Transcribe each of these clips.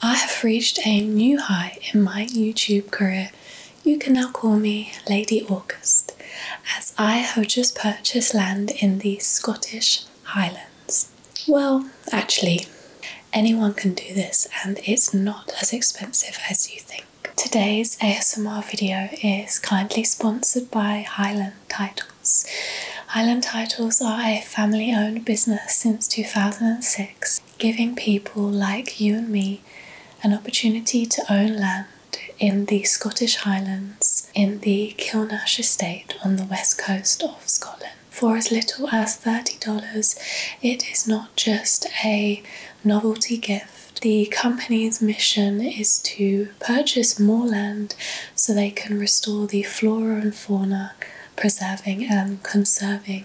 I have reached a new high in my YouTube career. You can now call me Lady August, as I have just purchased land in the Scottish Highlands. Well, actually, anyone can do this, and it's not as expensive as you think. Today's ASMR video is kindly sponsored by Highland Titles. Highland Titles are a family owned business since 2006 giving people like you and me an opportunity to own land in the Scottish Highlands in the Kilnash estate on the west coast of Scotland. For as little as $30, it is not just a novelty gift. The company's mission is to purchase more land so they can restore the flora and fauna, preserving and conserving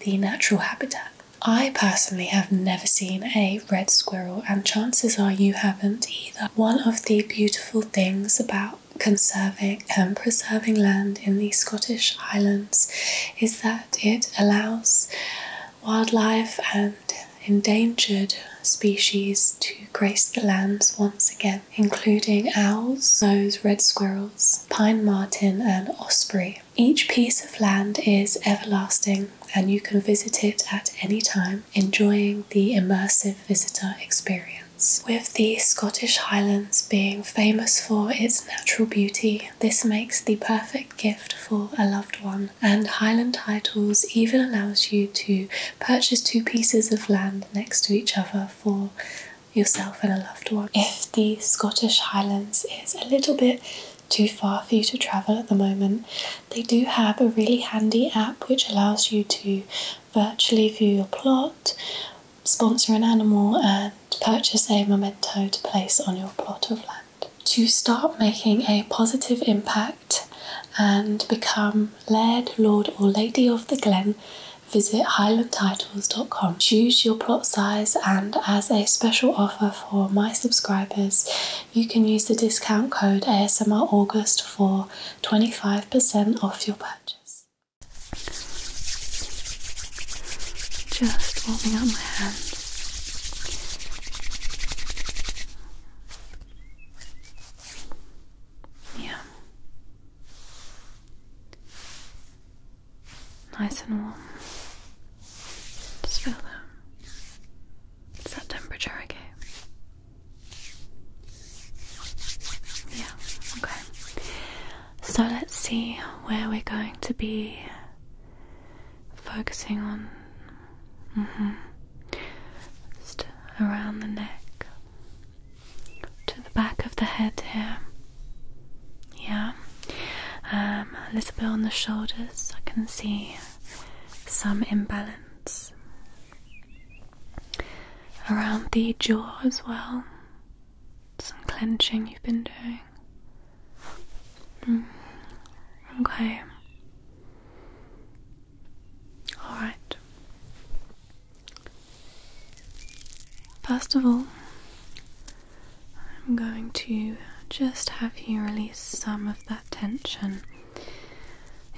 the natural habitat. I personally have never seen a red squirrel, and chances are you haven't either. One of the beautiful things about conserving and preserving land in the Scottish Islands is that it allows wildlife and endangered species to grace the lands once again including owls, those red squirrels, pine martin, and osprey. Each piece of land is everlasting and you can visit it at any time, enjoying the immersive visitor experience. With the Scottish Highlands being famous for its natural beauty, this makes the perfect gift for a loved one. And Highland Titles even allows you to purchase two pieces of land next to each other for yourself and a loved one. If the Scottish Highlands is a little bit too far for you to travel at the moment, they do have a really handy app which allows you to virtually view your plot, sponsor an animal, and purchase a memento to place on your plot of land. To start making a positive impact and become Laird, Lord, or Lady of the Glen, visit highlandtitles.com. Choose your plot size, and as a special offer for my subscribers, you can use the discount code ASMR August for 25% off your purchase. Just warming up my hand. Yeah. Nice and warm. Just feel that. It's that temperature I Yeah, okay. So let's see where we're going to be focusing on. Mm-hmm. Just around the neck to the back of the head here. Yeah, um, a little bit on the shoulders. I can see some imbalance around the jaw as well. Some clenching you've been doing. Hmm. Okay. All right. First of all, I'm going to just have you release some of that tension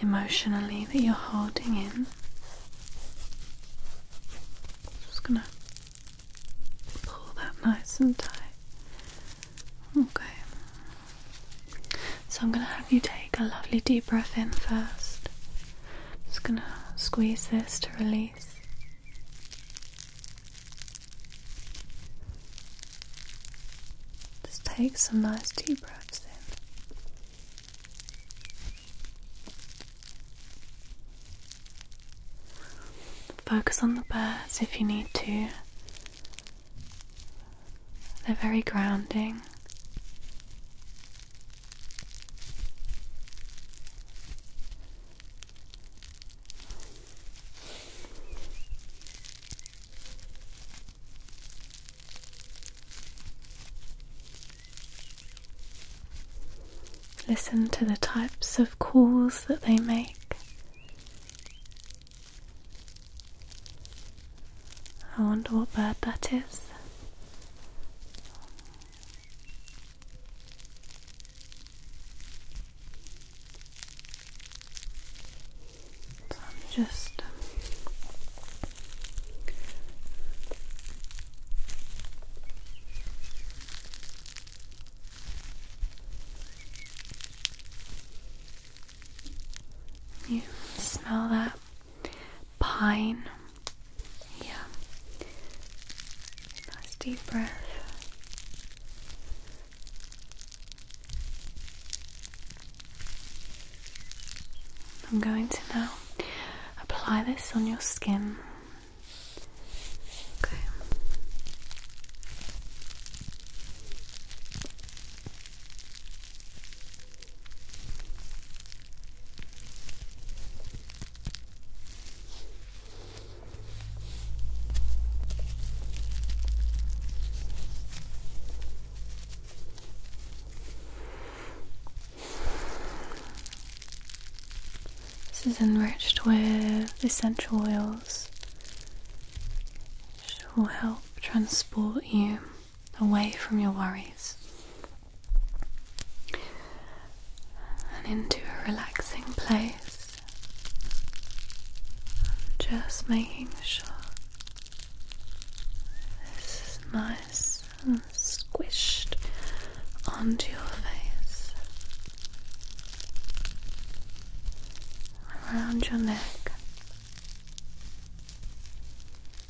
emotionally that you're holding in. Just gonna pull that nice and tight. Okay. So I'm going to have you take a lovely deep breath in first. Just going to squeeze this to release. Just take some nice deep breaths in. Focus on the birds if you need to. They're very grounding Listen to the types of calls that they make. I wonder what bird that is. I'm just you smell that pine yeah. Nice deep breath. I'm going to now apply this on your skin. Okay. This is enriched with essential oils, which will help transport you away from your worries and into a relaxing place. just making sure this is nice squished onto your face, around your neck.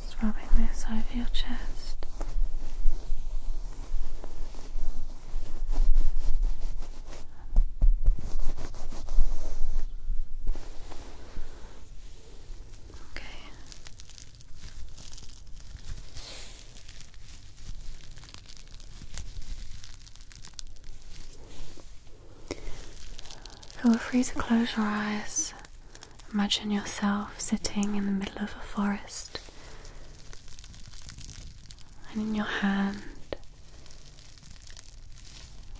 Just rubbing this of your chest. Okay, are free to close your eyes. Imagine yourself sitting in the middle of a forest, and in your hand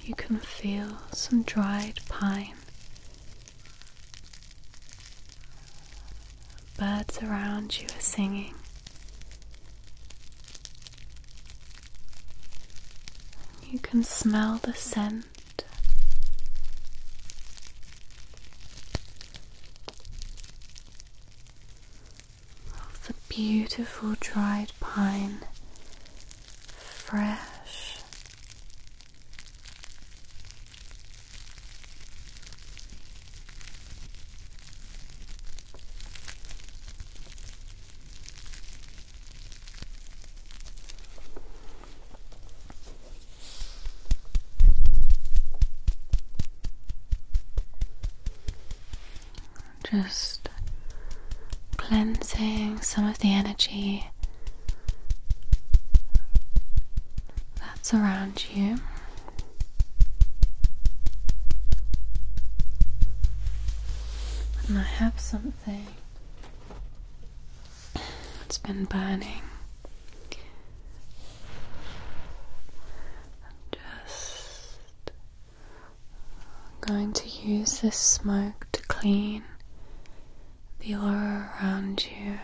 you can feel some dried pine. Birds around you are singing. You can smell the scent. of The beautiful dried pine, fresh just cleansing some of the energy that's around I have something that's been burning. I'm just going to use this smoke to clean the aura around you.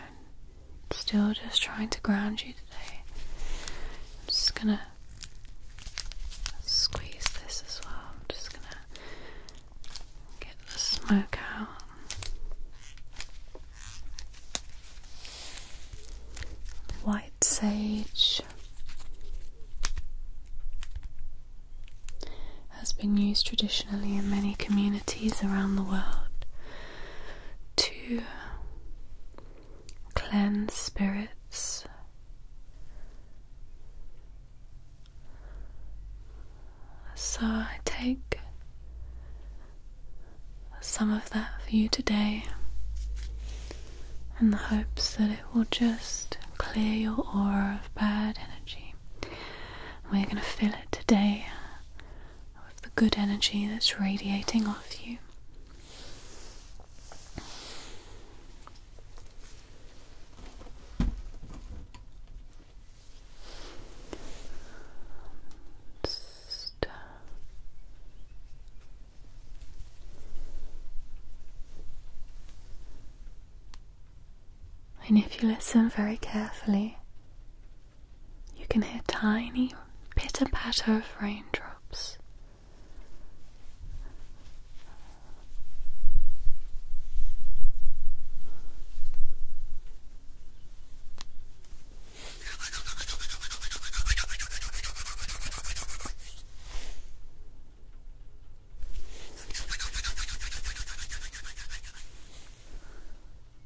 Still just trying to ground you today. I'm just gonna squeeze this as well. I'm just gonna get the smoke out. White sage has been used traditionally in many communities around the world to cleanse spirits. So I take some of that for you today in the hopes that it will just clear your aura of bad energy. We're going to fill it today of the good energy that's radiating off you. Uh, and if you listen very carefully, you can hear tiny pitter patter of raindrops.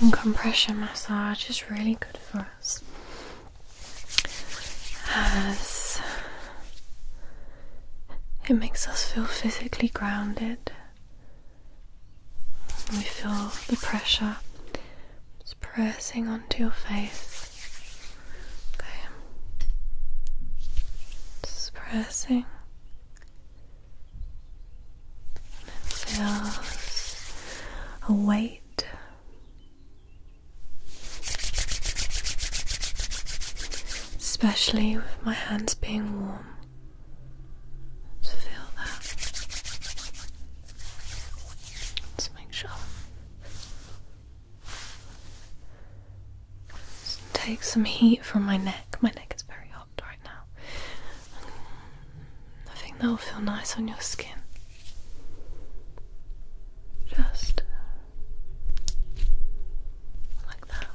and compression massage is really good for us as it makes us feel physically grounded. We feel the pressure it's pressing onto your face. Okay. Just pressing and it feels a weight. Especially with my hands being warm. Just feel that. Let's make sure. take some heat from my neck. My neck is very hot right now. I think that will feel nice on your skin. Just uh, like that.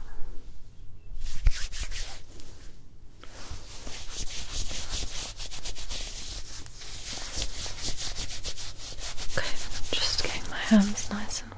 Okay, just getting my hands nice and warm.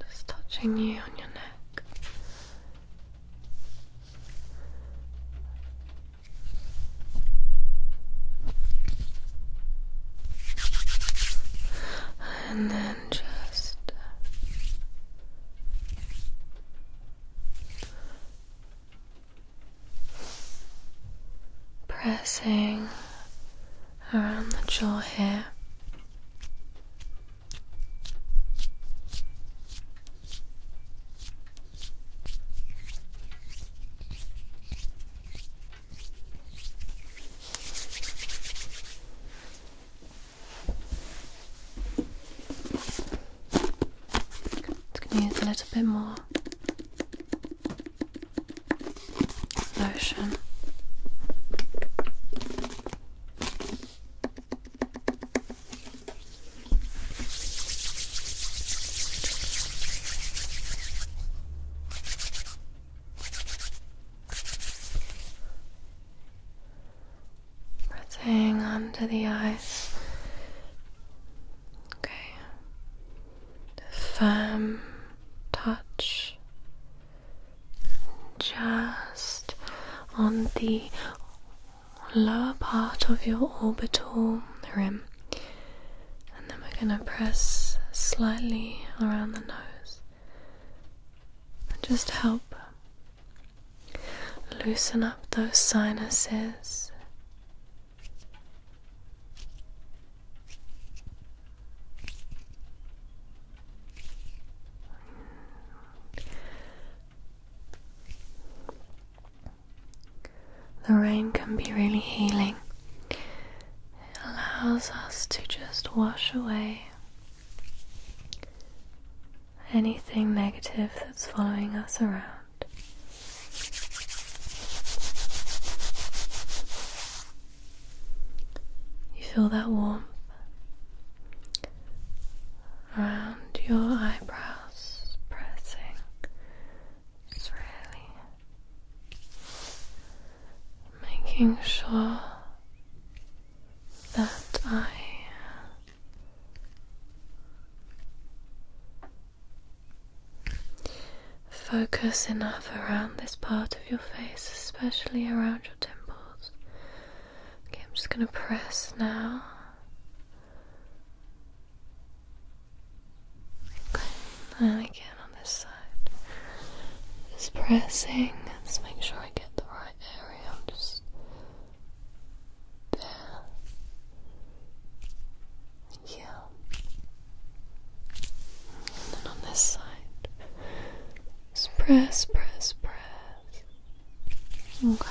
Just touching you on your neck. And then just uh, pressing around the jaw here. It's going to use a little bit more lotion. Pressing onto the eyes. Okay the firm touch just on the lower part of your orbital rim, and then we're going to press slightly around the nose and just help loosen up those sinuses the rain can be really healing. It allows us to just wash away anything negative that's following us around. You feel that warmth around your eyebrows pressing. It's really making sure that I Focus enough around this part of your face, especially around your temples. Okay, I'm just going to press now. and again on this side. Just pressing. Let's make sure I get the right area. I'm just there. Yeah. And then on this side, just press, press, press. Okay.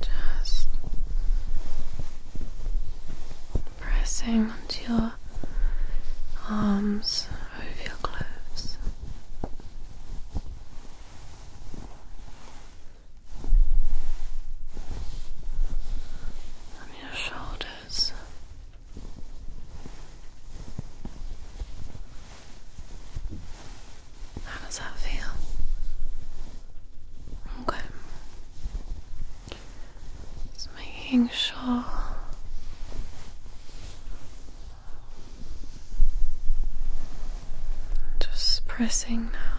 Just pressing onto your arms over your clothes. On your shoulders. How does that feel? Okay. Just making sure. Just pressing now.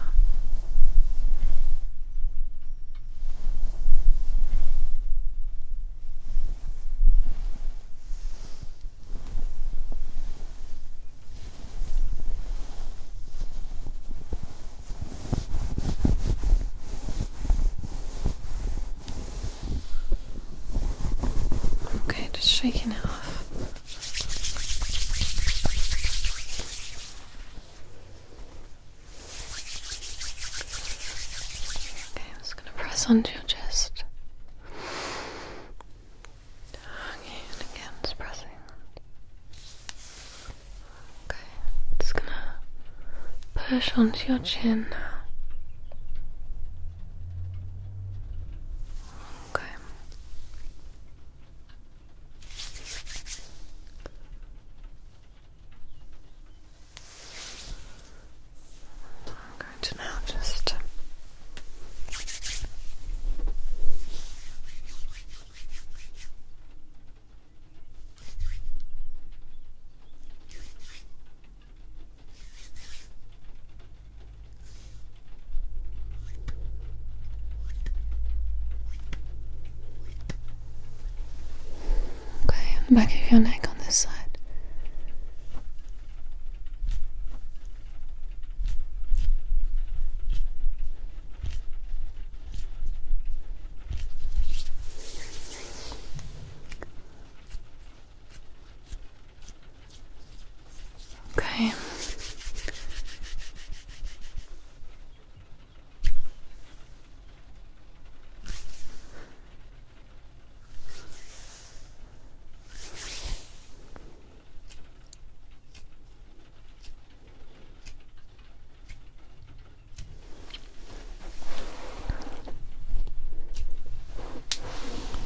Okay, just shaking it off. Okay, I'm just gonna press onto your chest. Okay, and again, just pressing. Okay, just gonna push onto your chin now. Okay. I'm going to now just Okay, the back of your neck on this side. Okay.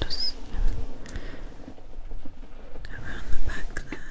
Just around the back there.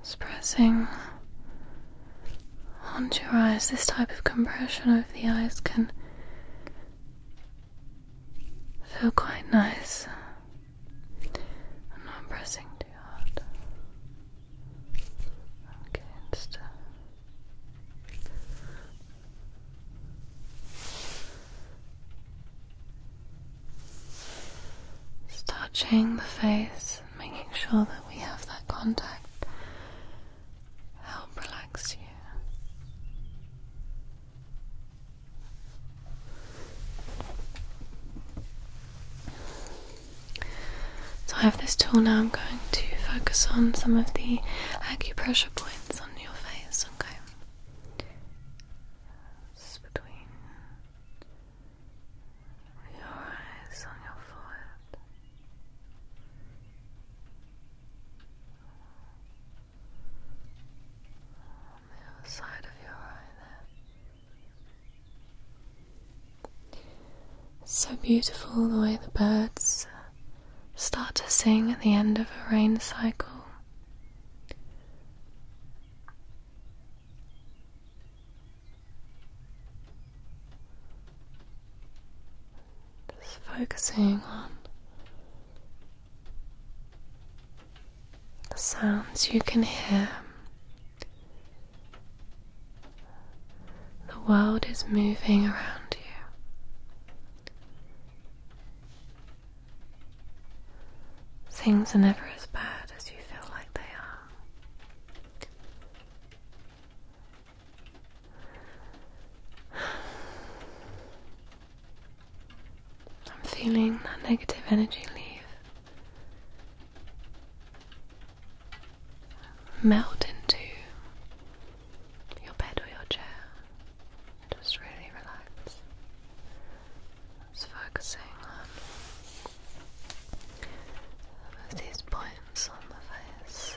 Just pressing onto your eyes, this type of compression over the eyes can feel quite nice. I'm not pressing too hard. Okay, just touching the face, making sure that we have that contact. Help relax you. So I have this tool now. I'm going to focus on some of the acupressure points on your face. Okay. between your eyes on your forehead. On the other side of your eye there so beautiful the way the birds start to sing at the end of a rain cycle. Just focusing on the sounds you can hear. The world is moving around you. Things are never as bad as you feel like they are. I'm feeling that negative energy leave melt into your bed or your chair. Just really relax. Just focusing on some of these points on the face.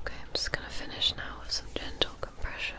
Okay, I'm just going to finish now with some gentle compression.